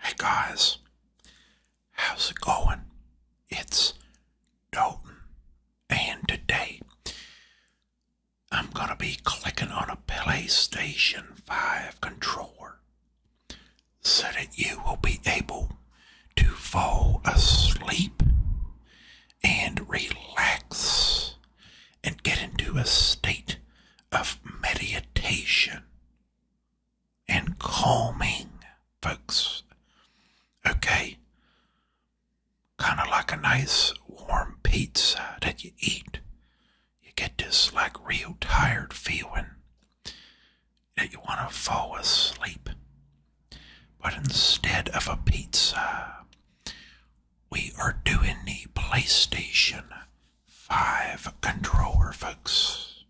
Hey guys, how's it going? It's Dalton, and today I'm going to be clicking on a PlayStation 5 controller so that you will be able to fall asleep and relax and get into a state of meditation and calming, folks. Okay? Kind of like a nice warm pizza that you eat. You get this like real tired feeling that you want to fall asleep. But instead of a pizza we are doing the PlayStation 5 controller, folks.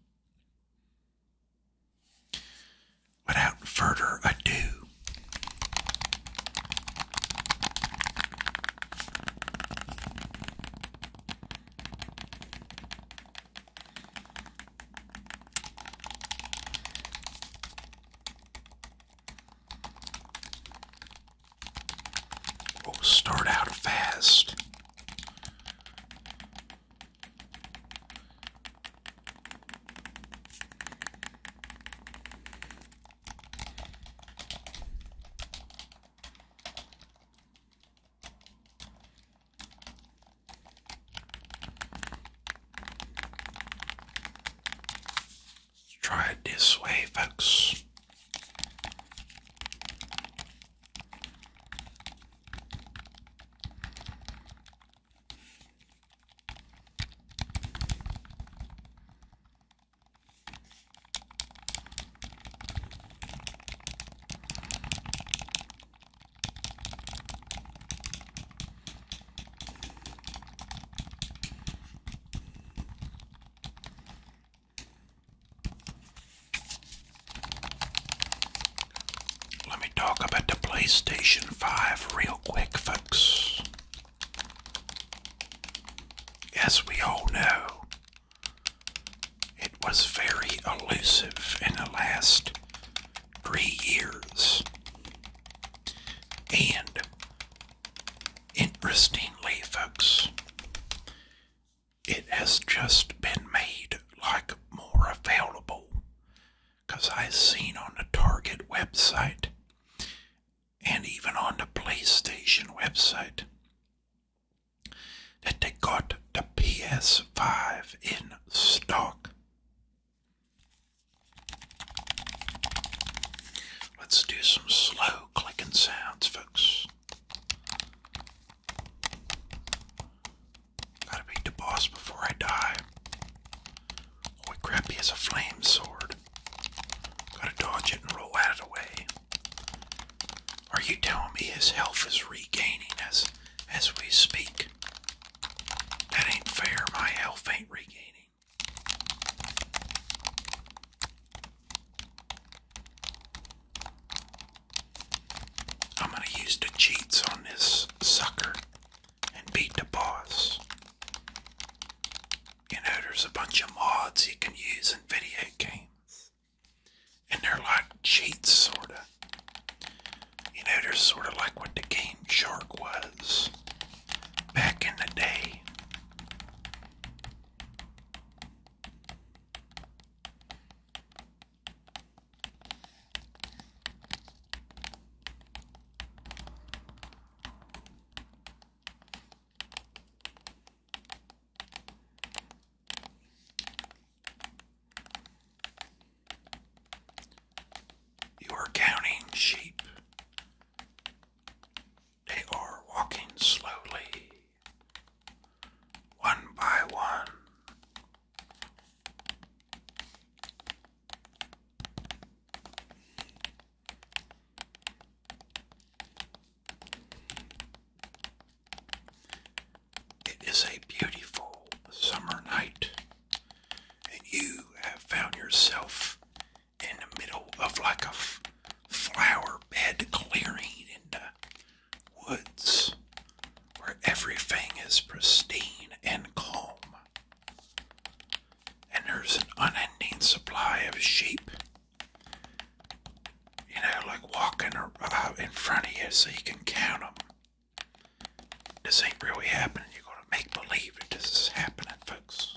Without further ado, We'll oh, start out fast try it this way, folks. Let me talk about the PlayStation 5 real quick, folks. As we all know, it was very elusive in the last three years. And Interestingly, folks, it has just been made like more available because i seen on the Target website and even on the PlayStation website that they got the PS5 in stock. Let's do some slow clicking sounds, folks. Gotta beat the boss before I die. Oh, crappy as a flame sword. Gotta dodge it and roll out of the way. Are you telling me his health is regaining as as we speak? That ain't fair. My health ain't regaining. I'm going to use the cheats on this sucker and beat the boss. You know, there's a bunch of mods you can use in video games, and they're like cheats, sort of. You know, they're sort of like what the game Shark was back in the day. You are counting sheep they are walking slowly, one by one. It is a beautiful summer night, and you have found yourself in the middle of like a flower bed clearing in the woods where everything is pristine and calm. And there's an unending supply of sheep. You know, like walking uh, in front of you so you can count them. This ain't really happening. You're going to make believe that this is happening, folks.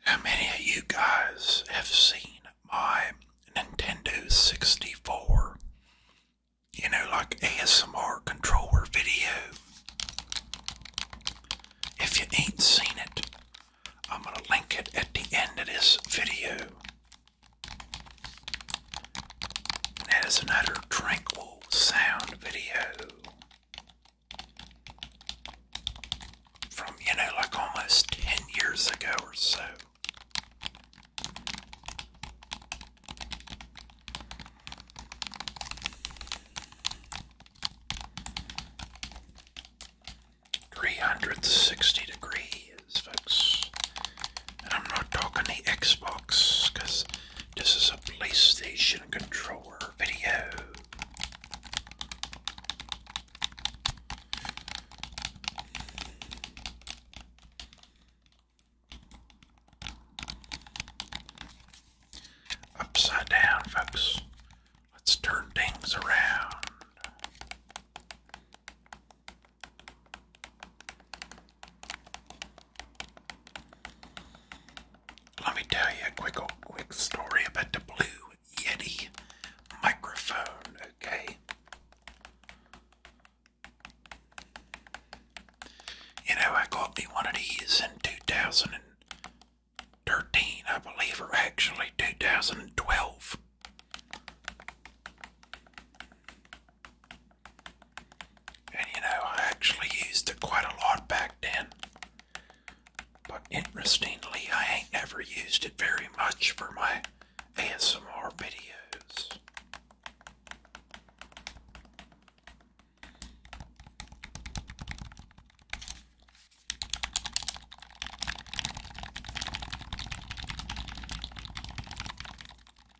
How many of you guys have seen my Nintendo 64? You know, like ASMR controller video. If you ain't seen it, I'm going to link it at the end of this video. That is another tranquil sound video from, you know, like almost 10 years ago or so. Three hundred sixty degrees, folks. And I'm not talking the Xbox, because this is a PlayStation controller video. Upside down, folks. Let's turn things around. Let me tell you a quick old, quick story about the Blue Yeti microphone, okay? You know, I got me one of these in 2013, I believe, or actually 2012. And you know, I actually used it quite a lot back then. But interestingly, I ain't never used it very much for my ASMR videos.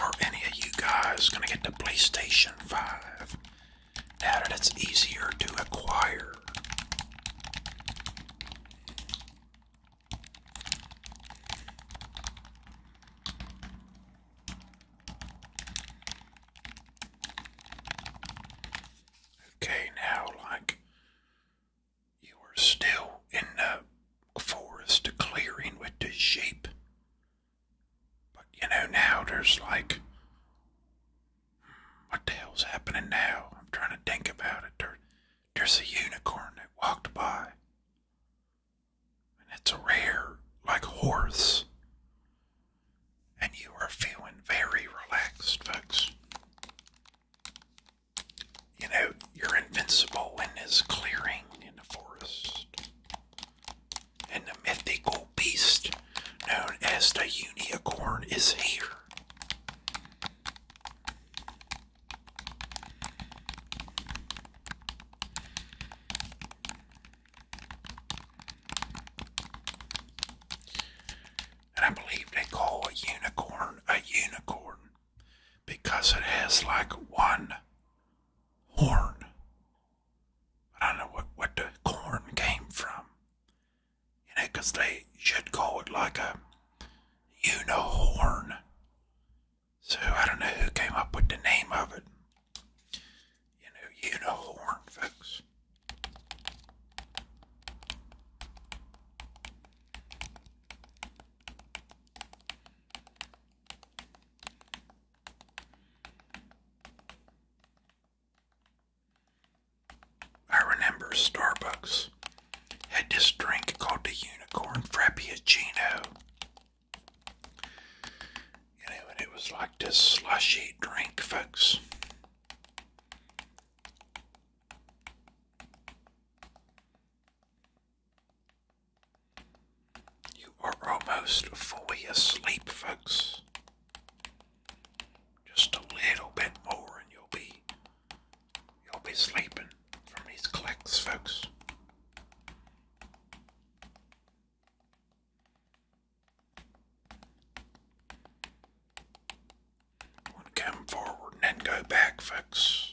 Are any of you guys going to get the PlayStation 5 now that it's easier to acquire? Okay, now, like, you were still in the forest clearing with the sheep but you know, now there's like, what the hell's happening now? I'm trying to think about it. there's a unicorn that walked by, and it's a rare, like, horse. And you are feeling very relaxed, folks. You know, you're invincible in this clearing in the forest and the mythical beast known as the unicorn is here. And I believe they call a unicorn a unicorn because it has like one horn. I don't know what, what the corn came from. You know, because they should call it like a you know horn. So I don't know who came up with the name of it. You know, you know horn, folks. I remember Starbucks had this drink called the Unicorn Frappuccino. and it was like this slushy drink, folks. You are almost fully asleep, folks. Just a little bit more, and you'll be you'll be sleeping from these clicks, folks. come forward and then go back, folks.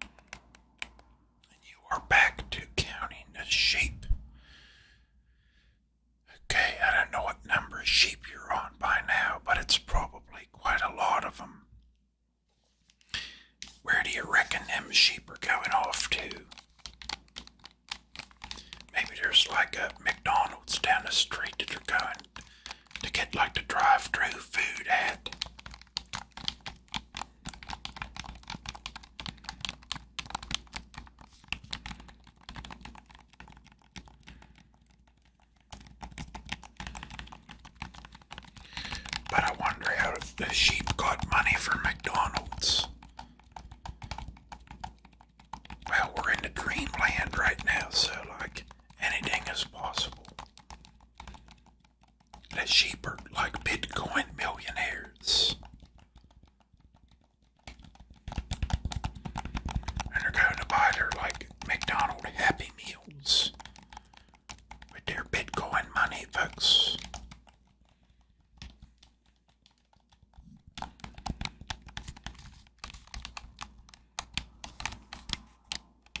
And you are back to counting the sheep. Okay, I don't know what number sheep you're on by now, but it's probably quite a lot of them. Where do you reckon them sheep are going off to? Maybe there's like a McDonald's down the street that are going to get like the drive-through food at. But I wonder how the sheep got money from McDonald's. Well, we're in the dreamland right now, so like anything is possible. The sheep are like Bitcoin millionaires. And they're going to buy their like McDonald Happy Meals with their Bitcoin money, folks.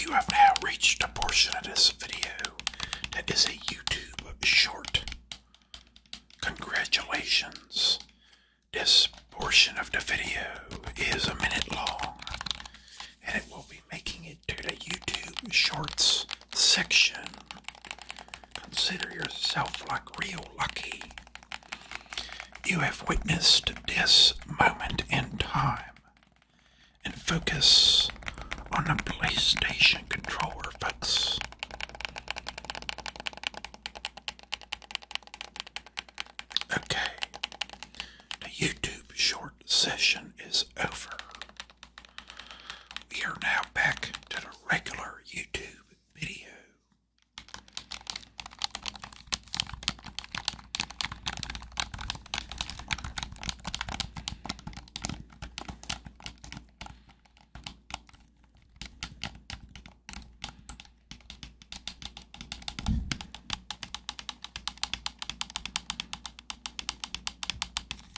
You have now reached a portion of this video that is a YouTube short. Congratulations. This portion of the video is a minute long and it will be making it to the YouTube Shorts section. Consider yourself like real lucky. You have witnessed this moment in time and focus on the PlayStation controller, folks. Okay, the YouTube short session is over. We are now back to the regular YouTube video.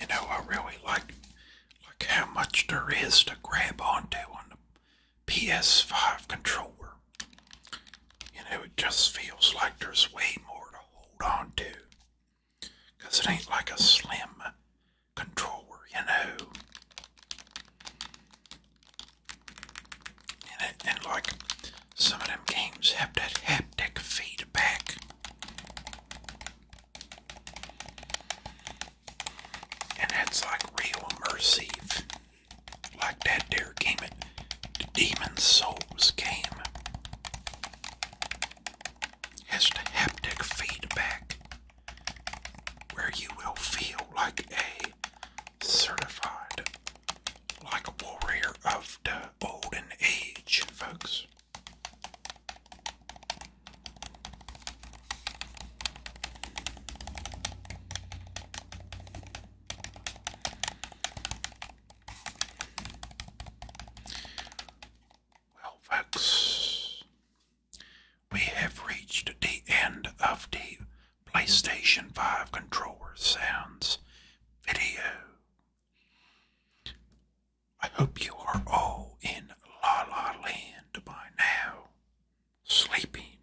You know, I really like like how much there is to grab onto on them. PS5 controller. You know, it just feels like there's way more to hold on to. Because it ain't like a slim controller, you know. And, like, some of them games have that haptic feedback. And that's like real immersive. Like that there came it. The demon souls came. Has the haptic feedback where you will feel like a certified, like a warrior of the olden age, folks. Well, folks, we have reached the end of the PlayStation 5 controller sounds video. I hope you are all in La La Land by now sleeping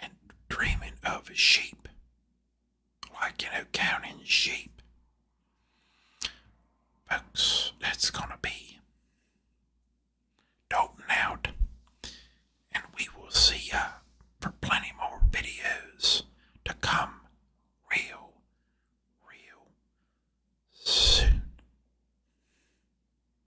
and dreaming of sheep, like, you know, counting sheep. Folks, that's going to be Dalton out, and we will see ya for plenty more videos to come real, real soon.